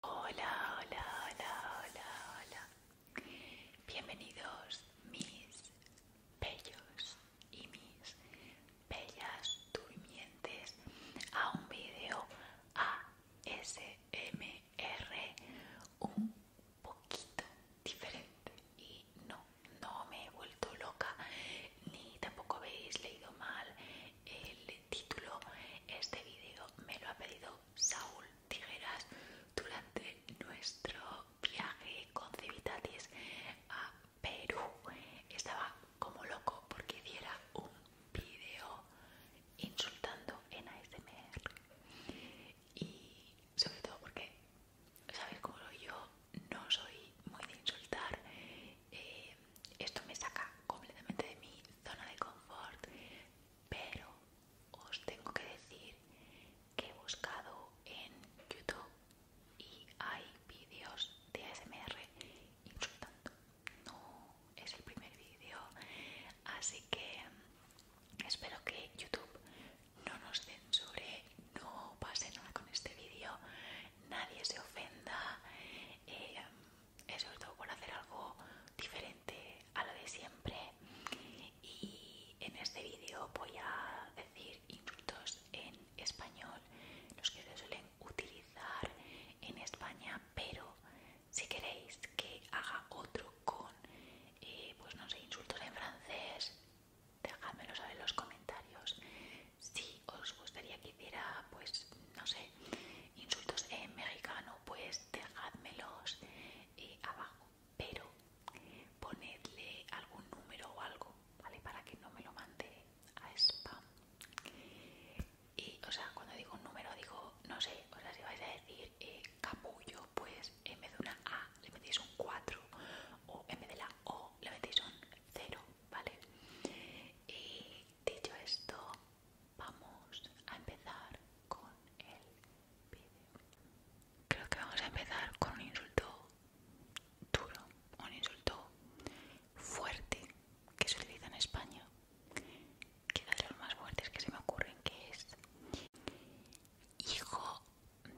Hola, hola, hola, hola, hola. Bienvenidos mis bellos y mis bellas durmientes a un video ASMR un poquito diferente y no, no me he vuelto loca ni tampoco habéis leído mal el título. Este vídeo me lo ha pedido Saúl Tijeras durante nuestro viaje con Civitatis a Perú. Estaba como loco porque hiciera un vídeo insultando en ASMR. Y sobre todo porque, ¿sabes? Como yo no soy muy de insultar, eh, esto me saca completamente de mi zona de confort, pero os tengo que decir que he buscado en YouTube y hay vídeos de ASMR insultando. No es el primer vídeo, así que espero que YouTube no nos censure, no pase nada con este vídeo nadie se ofenda, eso eh, eh, todo por hacer algo diferente a lo de siempre. Y en este vídeo voy a decir insultos en español, los que se suelen utilizar en España, pero si queréis que haga otro con, eh, pues no sé, insultos en francés, dejádmelo saber en los comentarios si os gustaría que hiciera pues no sé insultos en mexicano pues dejádmelos eh, abajo pero ponedle algún número o algo vale para que no me lo mande a spam y o sea cuando digo un número digo no sé o si vais a decir eh, capullo pues en vez de una A le metéis un 4 o en vez de la O le metéis un cero, ¿vale? Y dicho esto, vamos a empezar con el vídeo. Creo que vamos a empezar con un insulto duro, un insulto fuerte que se utiliza en España. Quizás de los más fuertes que se me ocurren que es hijo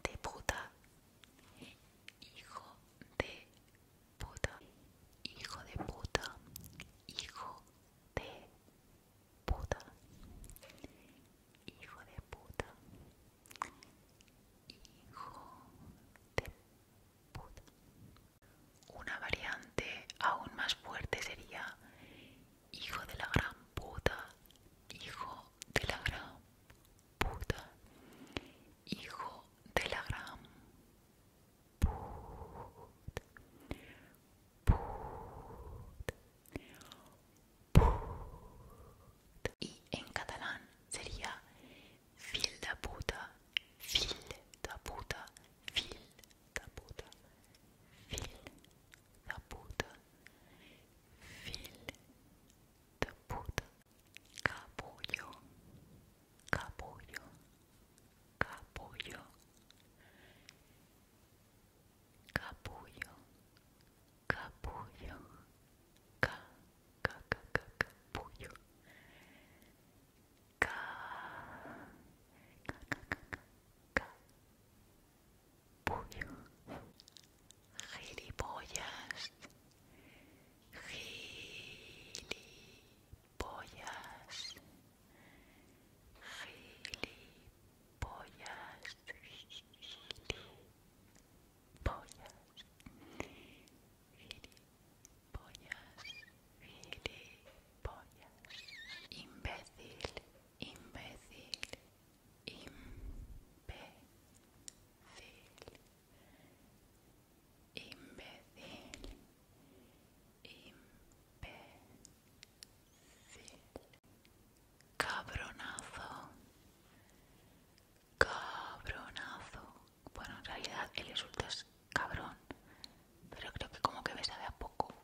de puta hijo de puta, hijo de puta, hijo de puta, hijo de puta, hijo de puta. Una variante aún más fuerte sería hijo de la gran puta, hijo de la gran puta, hijo de la gran puta, puta, Y en catalán sería fil da puta, fil da puta, fil da puta, fil da puta. fil de poudre, capullo, capullo, capullo, capullo, capullo, ca, ca, ca, ca, capullo, ca, ca, ca, ca, Puyo. Gilipollas. Gilipollas. Gilipollas. Gilipollas. Gilipollas. Gilipollas. Imbécil imbécil, imbécil, imbécil, imbécil, cabronazo, cabronazo. Bueno, en realidad el insulto es cabrón, pero creo que como que me sabe a poco.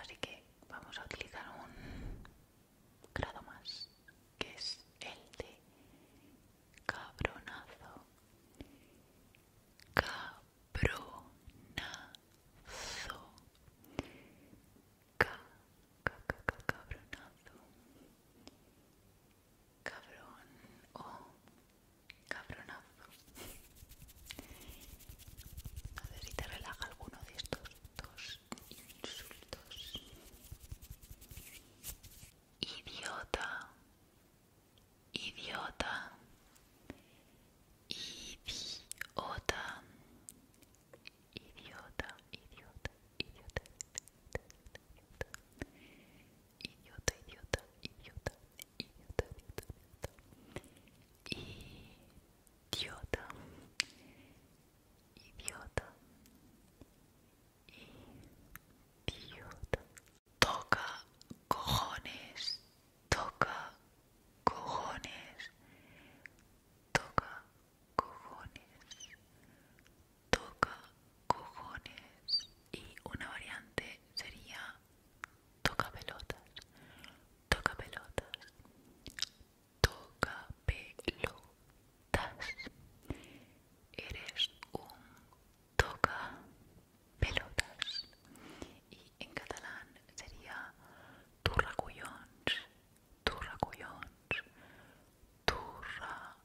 Así que vamos a utilizar un grado más, que es el de cabronazo. Cabronazo. cabronazo, cabronazo, cabronazo. Cabrón o oh. Cabronazo. A ver si te relaja alguno de estos dos insultos. Idiota. Idiota. Idiota. Idiota, idiota, idiota, idiota, idiota, idiota, idiota, idiota, idiota, idiota, idiota, idiota, idiota. Toca cojones, toca cojones, toca cojones toca cojones y una variante sería toca pelotas, toca pelotas, toca pelotas. Eres un toca pelotas y en catalán sería turra tu turra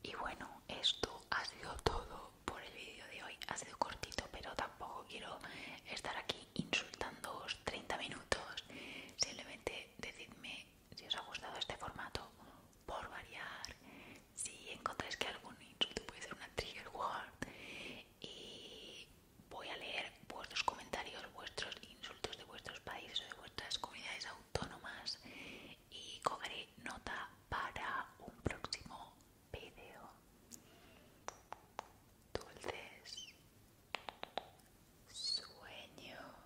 Y bueno, esto ha sido todo por el vídeo de hoy. Ha sido cortito, pero tampoco quiero estar aquí insultándoos 30 minutos. Simplemente decidme si os ha gustado este formato por variar. Si encontráis que algún insulto puede ser una trigger word y voy a leer vuestros comentarios, vuestros insultos de vuestros países o de vuestras comunidades autónomas y cogeré nota para un próximo vídeo. Dulces sueños.